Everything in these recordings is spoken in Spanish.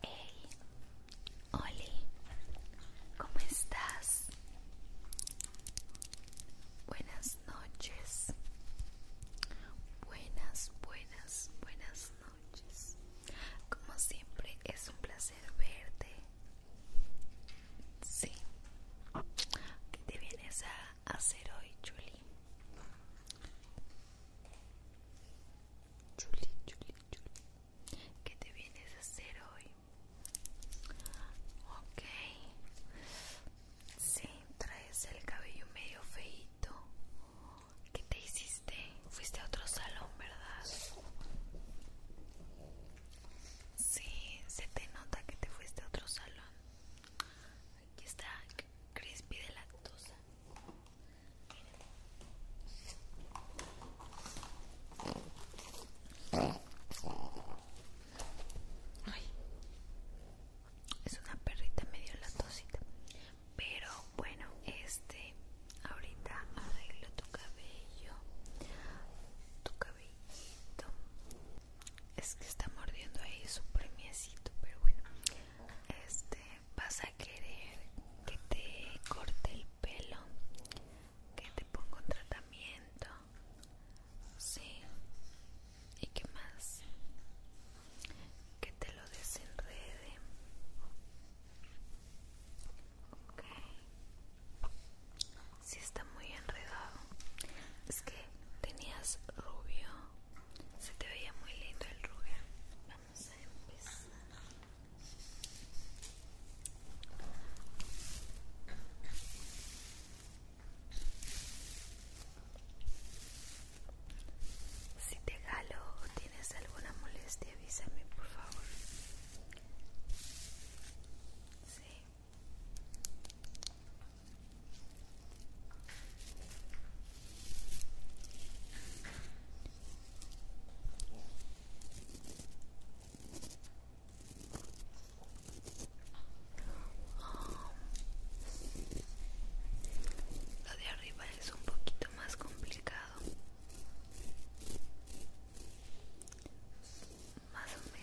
Hey, Oli, ¿cómo estás? Buenas noches. Buenas, buenas, buenas noches. Como siempre, es un placer verte. Sí, que te vienes a hacer hoy, chuli chuli chuli ¿Qué te vienes a hacer hoy? Ok. Sí, traes el cabello medio feito. ¿Qué te hiciste? Fuiste a otro salón, ¿verdad? Sí, se te nota que te fuiste a otro salón. Aquí está crispy de lactosa. Es una perrita medio lactosita Pero bueno, este ahorita arreglo tu cabello. Tu cabellito es que está mordiendo ahí su premiecito pero bueno este vas a querer que te corte el pelo que te ponga un tratamiento sí y qué más que te lo desenrede ok si sí está muy enredado es que tenías rubio, se te veía muy lindo el rubio. Vamos a empezar. Si te galo o tienes alguna molestia, avísame por favor. Sí. Lo de arriba es un poquito más complicado. Más o menos.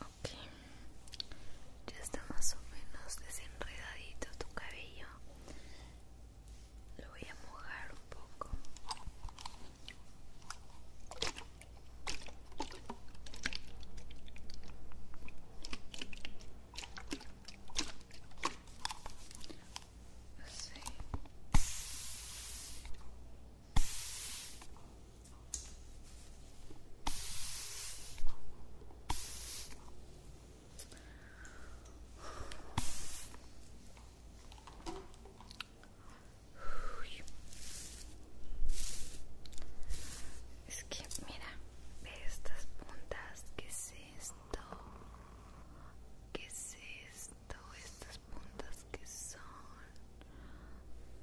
Ok, ya está más o menos desenredadito tu cabello. Lo voy a mojar un poco. Es que mira, ve estas puntas, ¿qué es esto? ¿Qué es esto? Estas puntas que son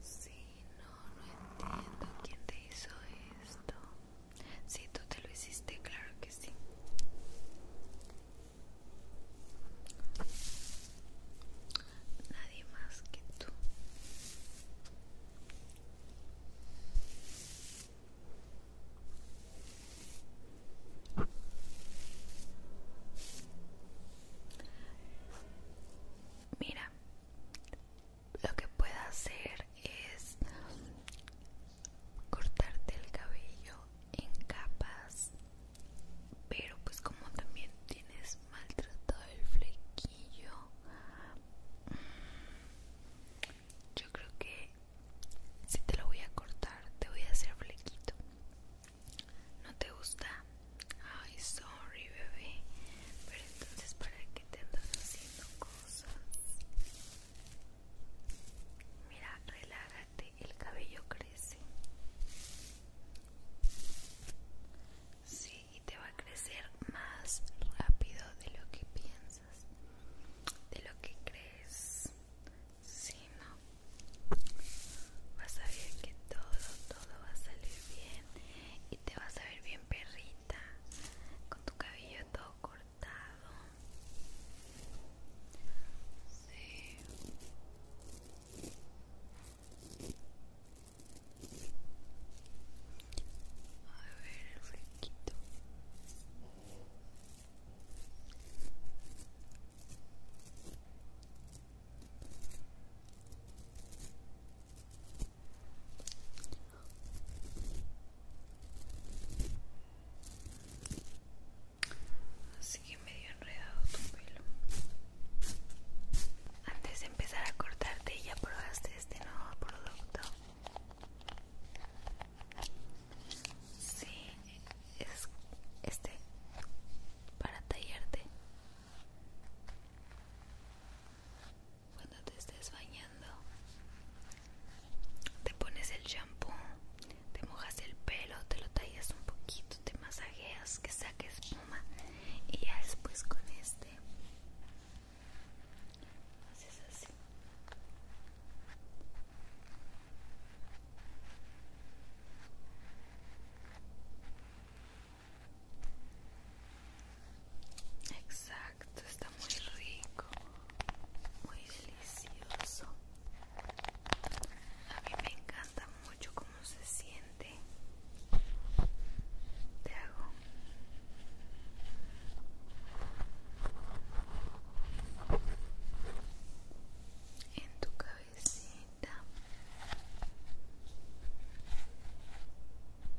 Sí, no, no entiendo quién te hizo esto. Sí, tú te lo hiciste, claro que sí. Nadie más que tú. Mira, lo que pueda hacer es cortarte el cabello en capas pero pues como también tienes maltratado el flequillo mm, yo creo que si te lo voy a cortar te voy a hacer flequito no te gusta Ay, sorry, bebé. Pero entonces, ¿para qué te andas haciendo cosas? Mira, relájate, el cabello crece. Sí, y te va a crecer más rápido de lo que piensas, de lo que crees. Sí, no. Vas a ver que todo, todo va a salir bien y te vas a ver bien perrito con tu cabello todo cortado a ver el Así que medio enredado tu pelo. Antes de empezar a cortarte, ¿ya probaste este nuevo producto? Sí, es este para tallarte cuando te estés bañando te pones el shampoo te mojas el pelo te lo tallas un poquito te masajeas que saques espuma y ya después con este haces así Exacto, está muy rico, muy delicioso. A mí me encanta mucho cómo se siente. Te hago. En tu cabecita.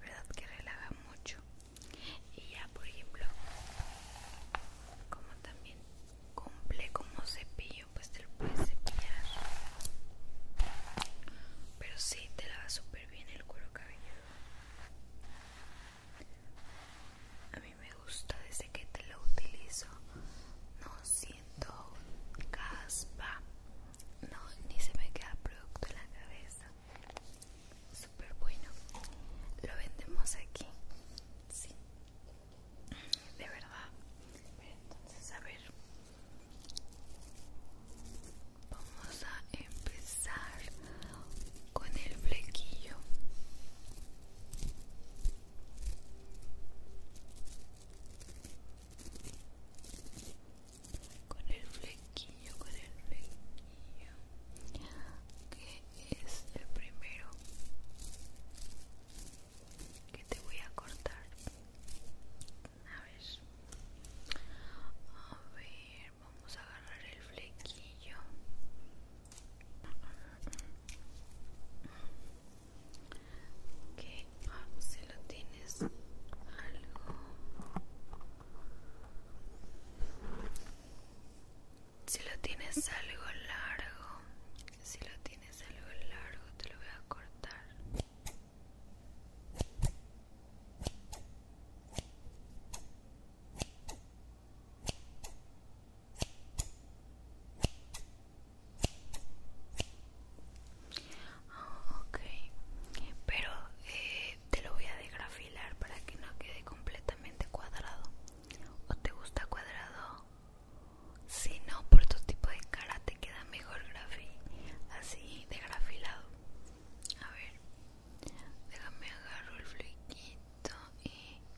verdad que relaja mucho y ya por ejemplo como también cumple como cepillo pues te lo puedes cepillar pero si te lava súper bien el cuero cabelludo a mí me gusta desde que te lo utilizo. No siento caspa. No, ni se me queda producto en la cabeza. Súper bueno. Lo vendemos aquí. Sí. De verdad. Entonces, a ver. Vamos a empezar con el flequillo con el flequillo con el flequillo que es el primero que te voy a cortar a ver a ver vamos a agarrar el flequillo que ah, si lo tienes algo si lo tienes algo largo si lo tienes algo largo te lo voy a cortar Okay, ok, pero eh, te lo voy a desgrafilar para que no quede completamente cuadrado. ¿O te gusta cuadrado? Si no, por tu tipo de cara te queda mejor grafi así degrafilado A ver, déjame agarro el flequito y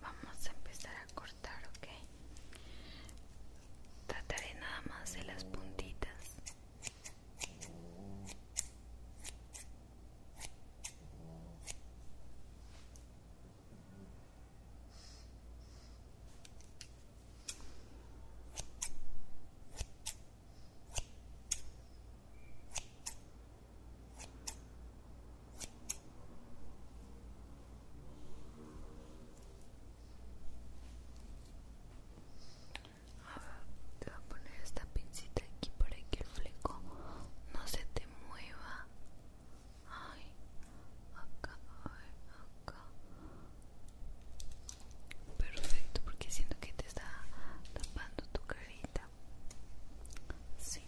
vamos a empezar a cortar ok trataré nada más de las puntitas Ahora te voy a poner esta pincita aquí para que el fleco no se te mueva. Ay, acá, ay, acá. Perfecto, porque siento que te está tapando tu carita. Sí.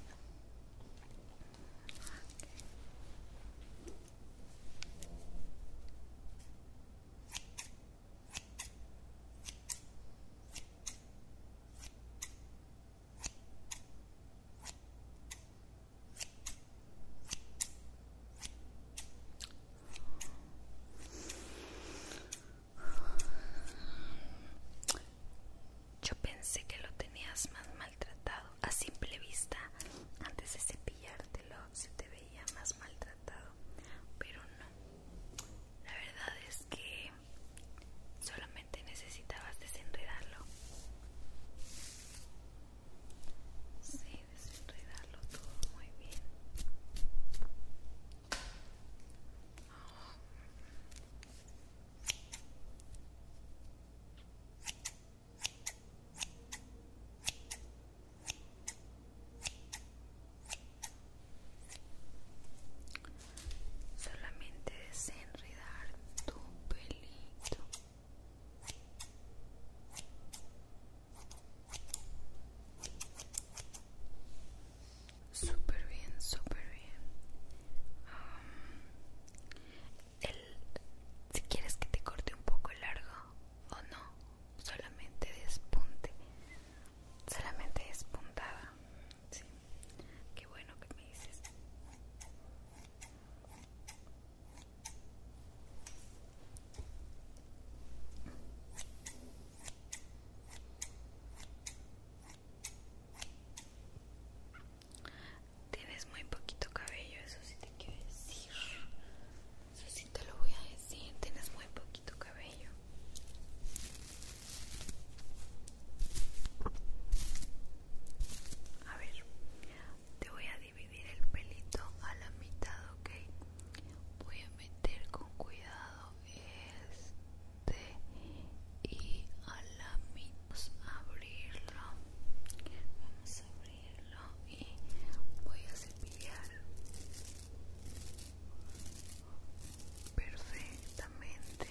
Yo pensé que lo tenías más maltratado a simple vista antes de cepillártelo se te veía más maltratado pero no la verdad es que solamente necesitabas desenredarlo sí desenredarlo todo muy bien Solamente desenredar tu pelito. Súper bien, súper bien. Um, si quieres que te corte un poco largo o no, solamente despunte, solamente despuntada. Sí. Qué bueno que me dices. Tienes muy poquito cabello, eso sí te quiero decir. Eso sí te lo voy a decir, tienes muy poquito cabello. A ver, te voy a dividir el pelito a la mitad, ¿ok? Voy a meter con cuidado este y a la mitad pues, abrirlo. Vamos a abrirlo y voy a cepillar perfectamente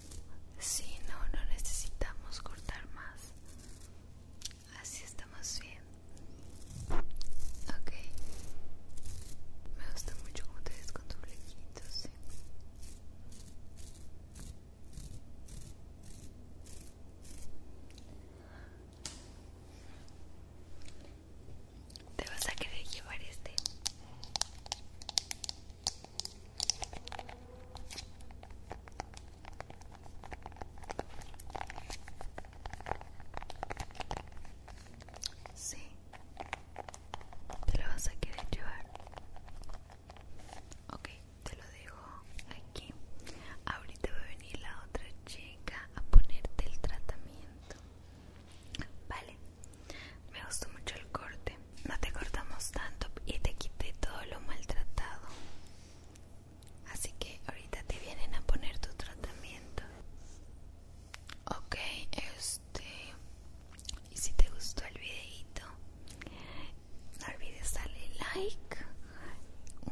Sí, no, no necesitamos cortar más. Así estamos bien. Ok. Me gusta mucho como te ves con tu flequito, ¿Te vas a querer llevar este? Sí, te lo vas a querer llevar. Ok, te lo dejo aquí. Ahorita va a venir la otra chica a ponerte el tratamiento. Vale, me gustó mucho el corte no te cortamos tanto y te quité todo lo maltratado. Así que ahorita te vienen a poner tu tratamiento. Ok, este... Y si te gustó el videito, no olvides darle like,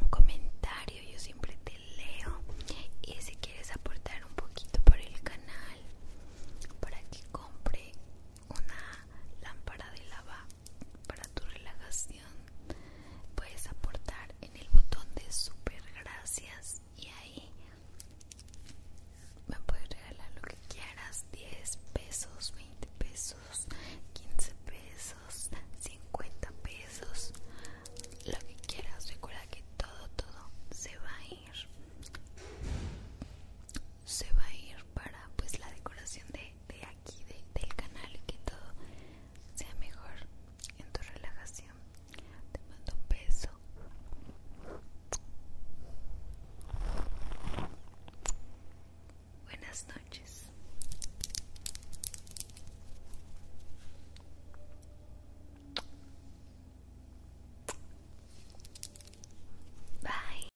un comentario, yo siempre te leo. Y si quieres aportar un poquito por el canal, para que compre una lámpara de lava para tu relajación puedes aportar en el botón de super gracias y ahí me puedes regalar lo que quieras 10 pesos 20 pesos 15 pesos 50 pesos lo que quieras recuerda que todo todo se va a ir se va a ir para pues la decoración de, aquí de, del canal y que todo sea mejor en tu relajación te mando un beso buenas noches bye